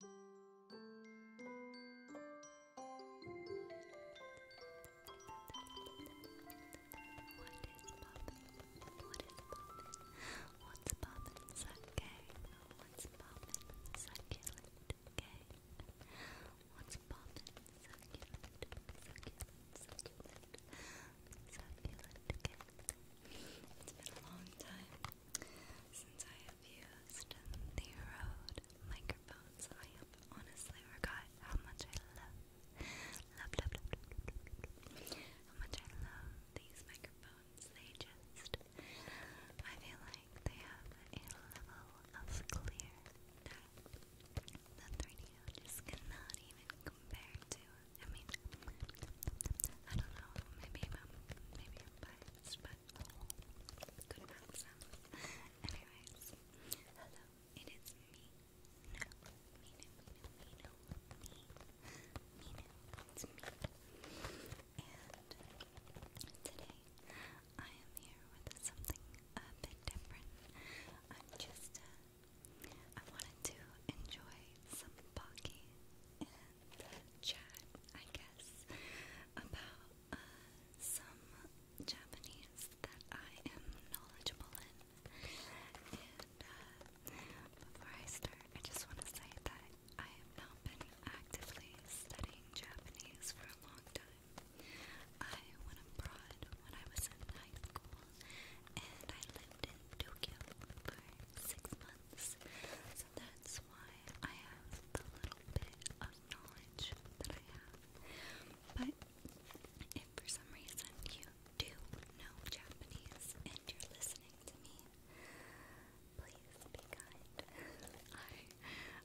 What's poppin'? Sucking. What's poppin'? Succulent. Okay. What's poppin'? Succulent. Succulent. Succulent. Succulent. Okay. It's been a long time since I used the Rode microphones. I honestly forgot how much I love, love, love, love, how much I love these microphones. They just, I feel like they have a level of clear that the 3DO just cannot even compare to. I mean, I don't know, maybe I'm, maybe I'm biased, but could have Anyways, hello, it is me. No, me, no, me, no, me, no, me, me, me. And today I am here with something a bit different. i just, I wanted to enjoy some pocky chat, I guess, about uh, some Japanese that I am knowledgeable in. And uh, before I start, I just want to say that I have not been actively studying Japanese for a long time. I went abroad when I was in high school, and I lived in Tokyo for six months ones. So that's why I have the little bit of knowledge that I have. But if for some reason you do know Japanese and you're listening to me, please be kind.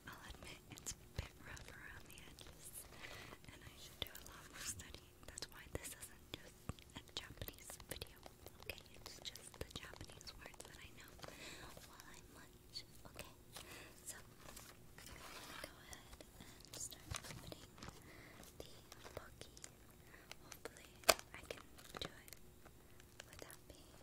I'll admit it's a bit rough around the edges, and I should do a lot more studying. That's why this isn't just a Japanese video. Okay, it's just the Japanese words that I know while I munch. Okay, so I'm gonna go ahead and start opening the pocky. Hopefully, I can do it without being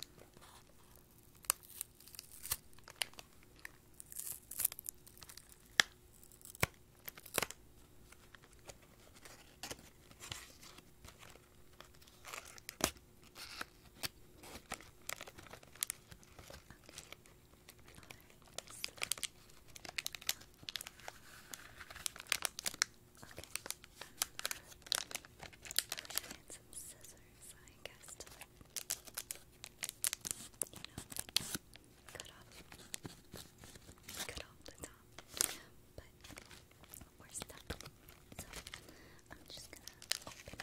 had some scissors, I guess, to like, you know, cut off, cut off the top. But we're stuck. So I'm just gonna open it.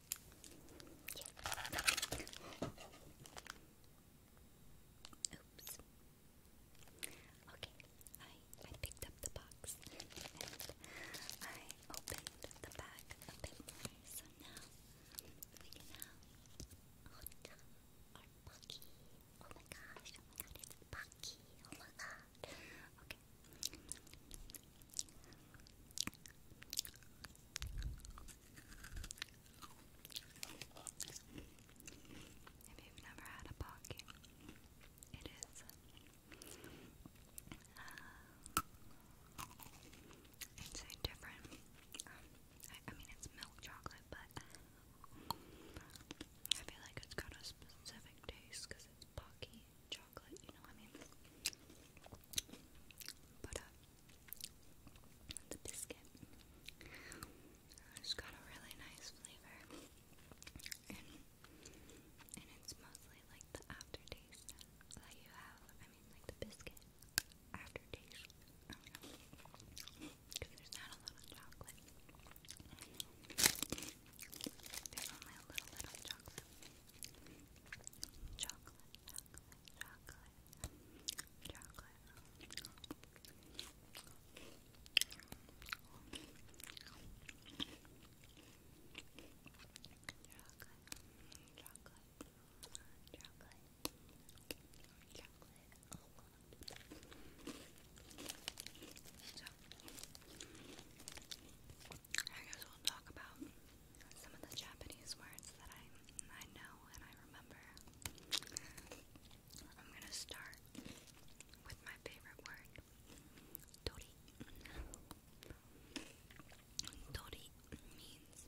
Oops. Okay, I I picked up the box and I opened the bag a bit more, so now we can have Huta or Bucky. Oh my gosh, oh my god, it's Bucky, oh my god. Okay. If you've never had a pocket, it is uh, different. Um, I, mean, it's milk chocolate, but I feel like it's got a specific taste because it's pocky chocolate, you has oh, got a really nice flavor, and it's mostly like the aftertaste that you have. I mean, like the biscuit aftertaste. there's not a lot of chocolate. There's only a little bit chocolate. Chocolate, chocolate, chocolate, chocolate. Chocolate, chocolate, chocolate, chocolate, So, I guess we'll talk about some of the Japanese words that I I know and I remember. I'm gonna start with my favorite word, Tori. Tori means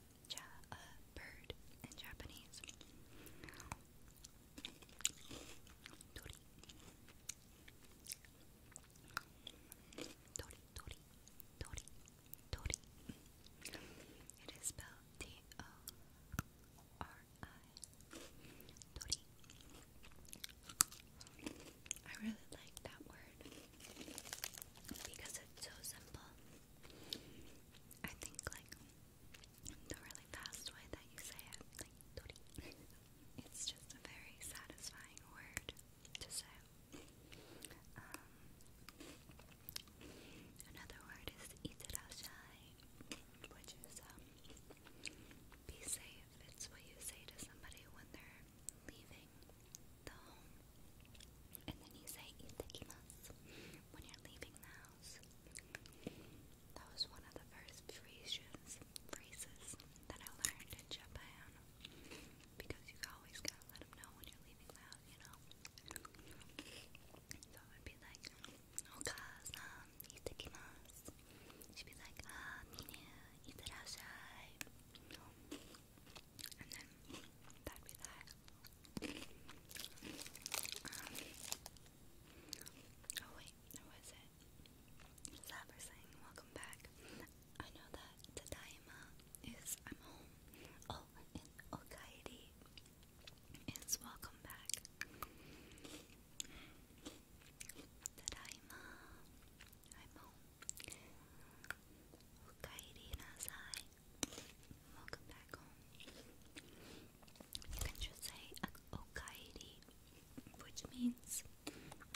a bird in Japanese. Tori, Tori, Tori, Tori. It is spelled T O R I. Tori. I really like that word because it's so simple. I think like the really fast way that you say it, like Tori. It's just a very satisfying word to say. Um, another word is itarashai, which is um, be safe. It's what you say to somebody when they're leaving the home. And then you say itakimasu when you're leaving the house. That was one of the first phrases, phrases that I learned in Japan. Because you always gotta let them know when you're leaving the house, you know? So I would be like, Okasan, oh, um, itakimasu. She'd be like, ah, mine, itarashai. And then that'd be that. Um, oh wait, there was it. Slapper saying, welcome back. I know that Tadaima is I'm home. Oh, and Okaidi is welcome back. Tadaima, I'm home. Okaidi Nazai, welcome back home. You can just say Okaidi, which means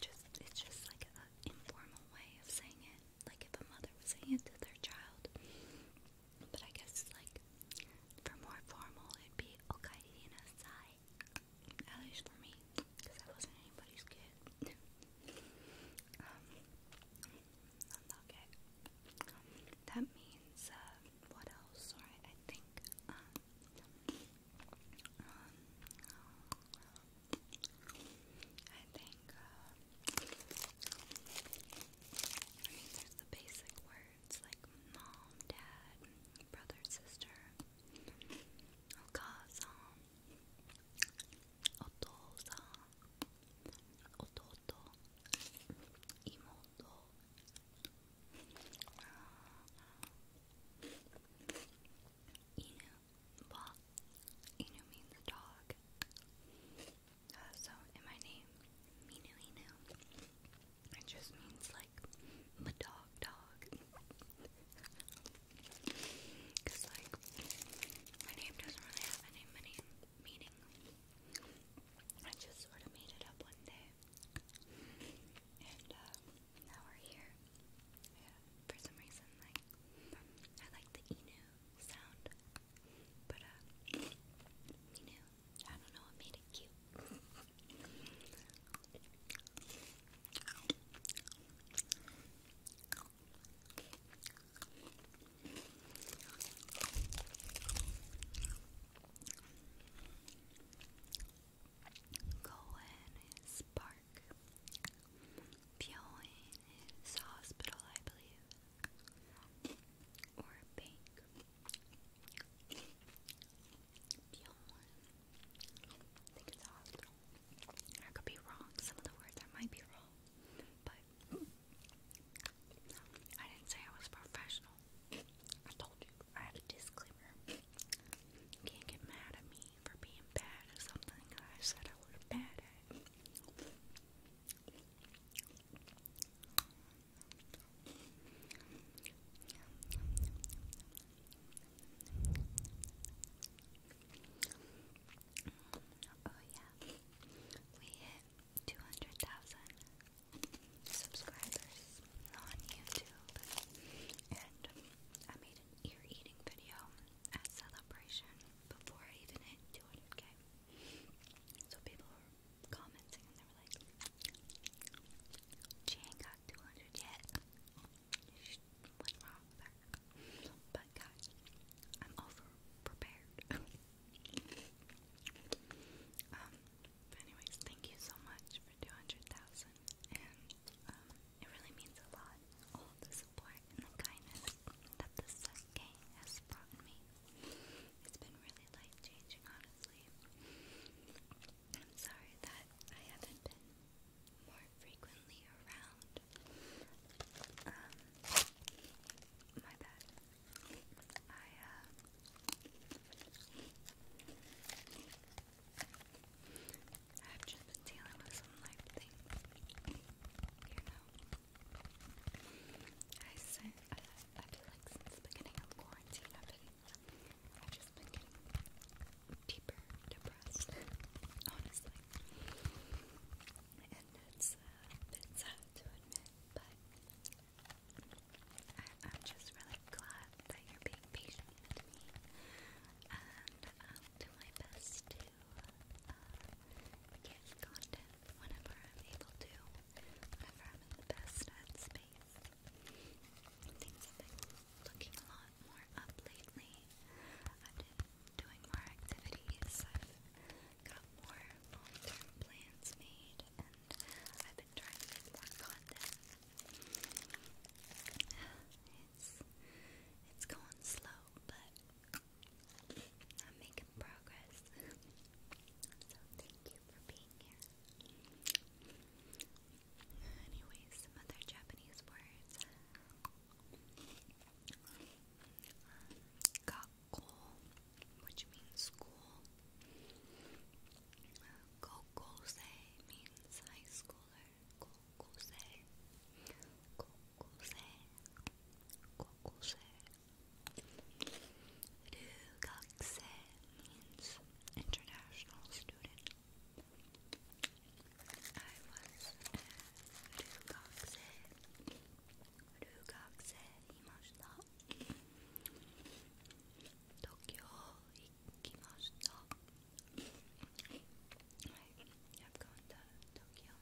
just it's just like an informal way of saying it like if a mother was saying it to their child. But I guess like for more formal, it'd be okairi and asai. At least for me, because I wasn't anybody's kid. um, okay. Um, that means uh, what else? Sorry, I think. Um, um, um, I think, uh, I mean, there's the basic words like mom, dad, brother, sister, okasan, oh, otosan, oh, ototo, oh, imoto, uh, inu, well, Inu means dog. Uh, so in my name, Minu Inu, it just means like my dog dog. Cause like my name doesn't really have any meaning. I just sort of made it up one day, and uh, now we're here. for some reason, like I like the Inu sound, but Inu, uh, I don't know, it made it cute. Cohen is part York. Bjorn is hospital, I believe. Or a bank. Bjorn. I think it's a hospital. I could be wrong. Some of the words I might be wrong. But I didn't say I was professional. I told you. I had a disclaimer. You can't get mad at me for being bad at something I said I would was bad at. Oh yeah, we hit 200,000 subscribers on YouTube and I made an ear eating video at Celebration before I even hit 200k. So people were commenting and they were like, she ain't got 200 yet. What's wrong with But guys, I'm over prepared. um, anyways, thank you so much for 200,000 and um, it really means a lot, all the support and the kindness that this set game has brought me. It's been really life-changing, honestly. I'm sorry that I haven't been more frequently around. Um, my bad. I, uh... I've just been dealing with some life things, you know. I say, I, I feel like since the beginning of quarantine, I've just been getting deeper depressed, it's uh, sad to admit, but I'm just really glad that you're being patient with me, and I'll um, do my best to uh, get content whenever I'm able to, whenever I'm in the best headspace. Things have been looking a lot more up lately. I've been doing more activities, I've got more long term plans made, and I've been trying to make more content. It's going slow, but I'm making progress. so thank you for being here. Anyways, some other Japanese words. Um, Gakko, which means school. Uh, Gokosei means high schooler. 高校生高校生高校生留学生 means international student I was a 留学生留学生いました東京行きました I've gone to Tokyo.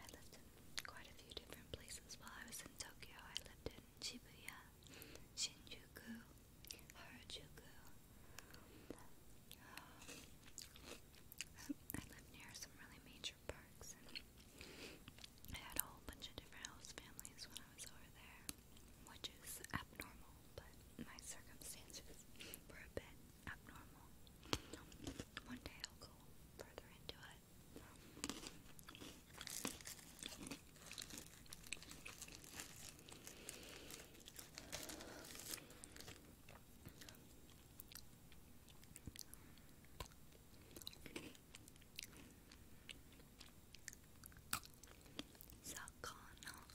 I lived in quite a few different places while I was in Tokyo. I lived in Shibuya, Shinjuku, Harajuku. Um, I lived near some really major parks, and I had a whole bunch of different host families when I was over there which is abnormal, but my circumstances were a bit abnormal. One day I'll go further into it. Sakana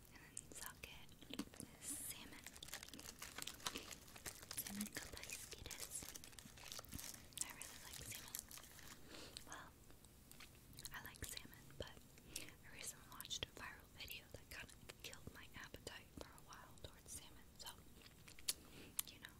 And then socket is salmon. Salmon Kopaiski this. I really like salmon. Well, I like salmon, but I recently watched a viral video that kind of killed my appetite for a while towards salmon, so, you know.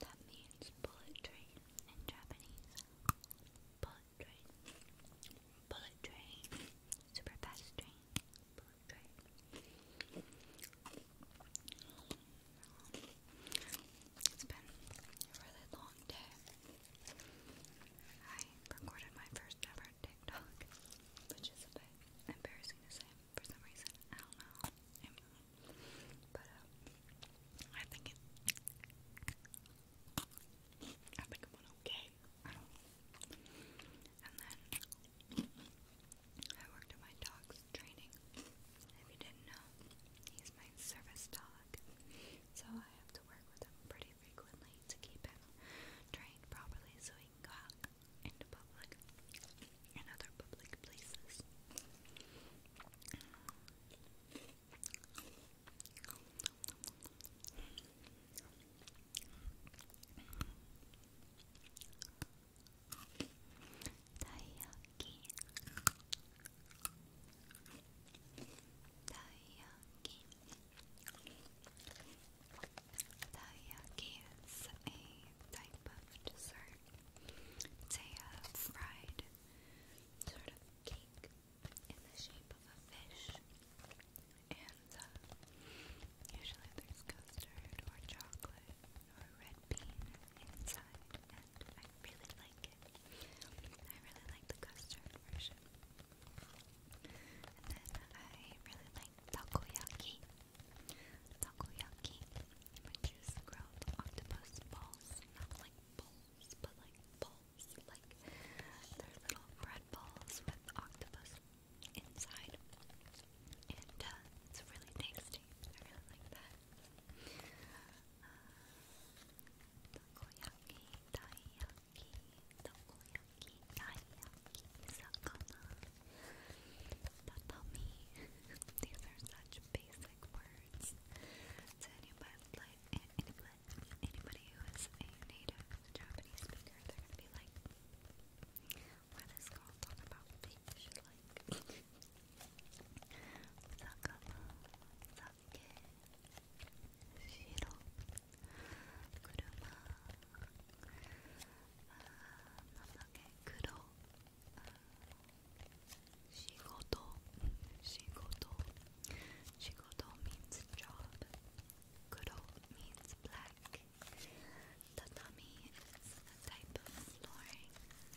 That means bullet train in Japanese bullet train bullet train super fast train bullet train it's been a really long day. I recorded my first ever TikTok, which is a bit embarrassing to say for some reason. I don't know. But um, I think it. I okay. And then I worked at my dog's training. If you didn't know, he's my service dog. So I have to work with him pretty frequently to keep him trained properly so he can go out into public and other public places. Taiyaki. Taiyaki. Taiyaki is a type of dessert. It's a fried sort of cake in the shape of a fish. And usually there's custard or chocolate or red bean inside. And I really like I really like the custard version. And then I really like takoyaki. Takoyaki, which is grilled octopus balls, not like balls, but like balls, like they little bread balls with octopus inside. And uh, it's really tasty. I really like that takoyaki, taiyaki, takoyaki, taiyaki, sakana, tatami. These are such basic words to anybody like anybody, anybody who is a native Japanese speaker. They're gonna be like, "Why this talk about fish?" Like, sakana, sakana, 무섭게 싫어 그루마 아, 만약에 그러 아, 쉬고도 쉬고도 쉬고도 means job 그러 means black tatami is a type of flooring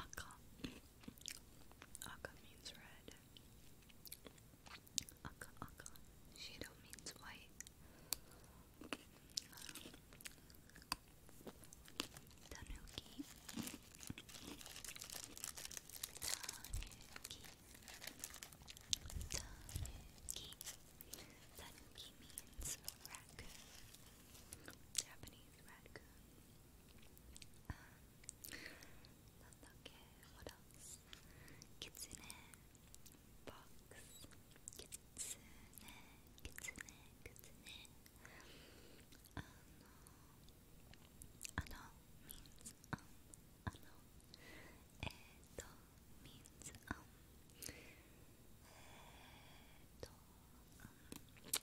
Akka. Akka means red. Akka, akka. Shido means white. Tanuki. Tanuki. Tanuki. Tanuki means raccoon. Japanese raccoon. Um, what else? Kitsune. Box. Kitsune. Kitsune. Kitsune. Ano. means Ano. Edo means um Edo um Mizu Mizu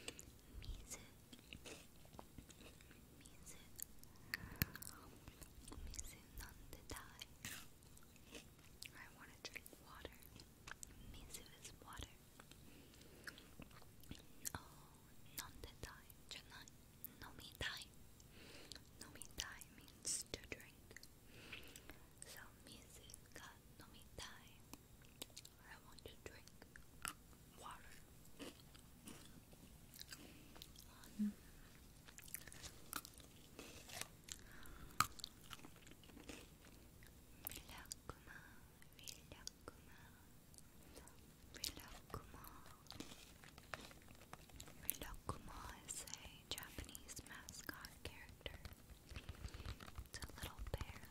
Mizu nandedai I want to drink water. Mizu is water. Oh, nondetai, janan, nomitai. Nomitai means to drink. So, mizu ga nomitai. I want to drink water. Um, Milk, Relaxma, Relaxma, Relaxma is a Japanese mascot character. It's a little bear.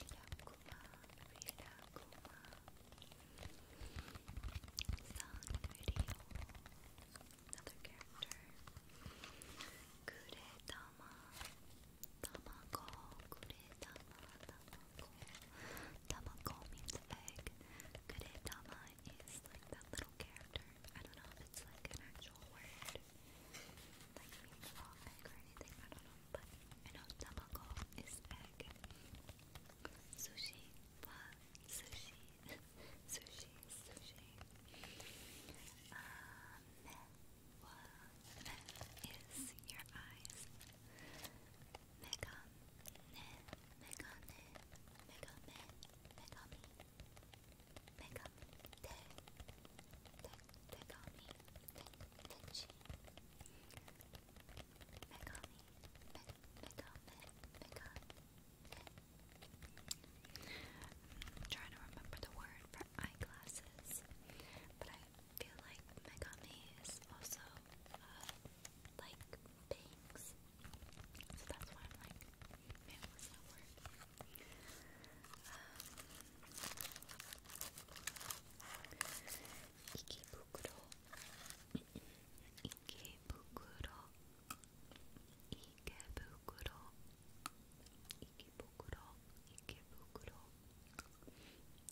Relaxma, Relaxma. Sanrio, another character. Kureta, 담아 담아거 그래 담아 담아거 means egg 그래 is like that little character I don't know if it's like an actual word like means egg or anything I don't know but I know tamako is egg sushi sushi sushi sushi uh, ne is your eyes. Megane, megami, te, te, tegami, te, techi. Megami, me, trying to remember the word for eyeglasses, but I feel like Megami is also uh, like bangs, so that's why I'm like, man, what's word? Um,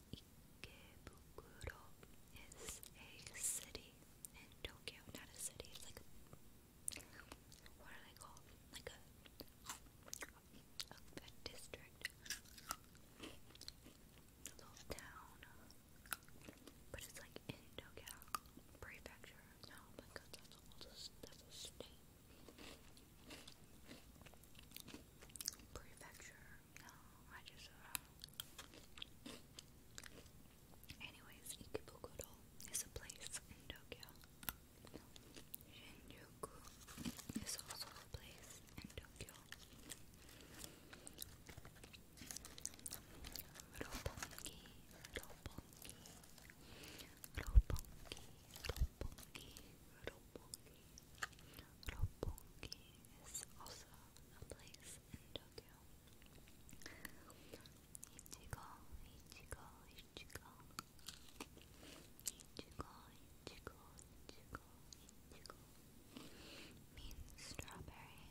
Ikebukuro is a city in Tokyo. Not a city, it's like a, what are they called? Like a, district, a little town, but it's like in Tokyo prefecture. No, my God, that's a, that's a state. Prefecture. No, I just uh, Anyways, Ikebukuro is a place in Tokyo. Shinjuku is also a place in Tokyo. Roppongi, Roppongi, Roppongi, Roppongi, Roppongi, Roppongi is also a place in Tokyo. Ichigo, Ichigo, Ichigo. Ichigo, Ichigo, Ichigo, Ichigo. Means strawberry.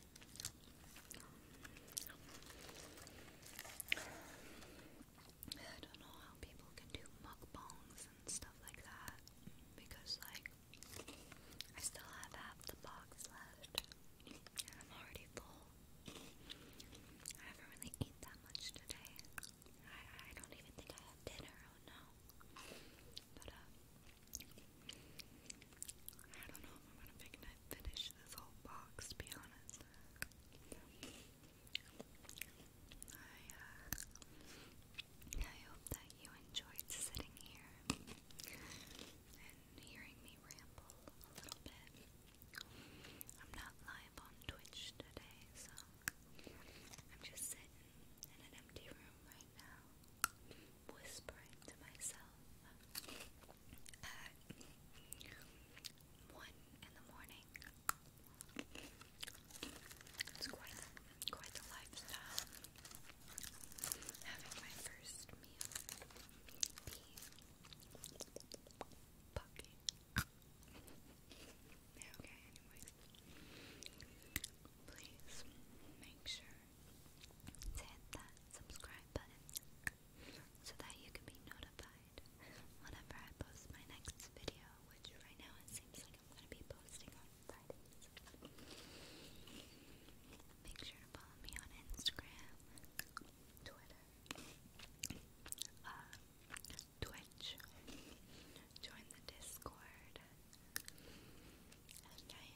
I don't know how people can do mukbangs and stuff like that because, like, I still have half the box left and I'm already full. I haven't really eaten that much today. I, don't even think I had dinner, oh no. But, uh, I don't know if I'm gonna finish this whole box, to be honest. Uh, I, hope that you enjoyed sitting here and hearing me ramble a little bit. I'm not live on Twitch today, so I'm just sitting in an empty room right now whispering to myself at uh, one in the morning. It's quite quite the lifestyle. Having my first meal be okay, anyways. Please make sure to hit that subscribe button so that you can be notified whenever I post my next video, which right now it seems like I'm going to be posting on Fridays. Make sure to follow me on Instagram, Twitter, uh, Twitch, join the Discord, and I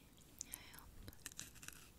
hope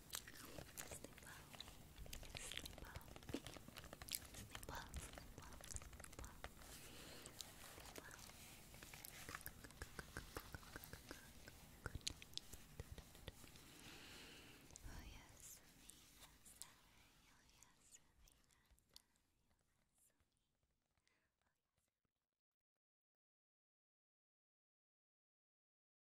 Sleep well. Sleep well. Sleep well. Sleep well. Sleep well. Sleep well. Good night. Oh yes, Amina, sorry. Oh yes, Amina, sorry.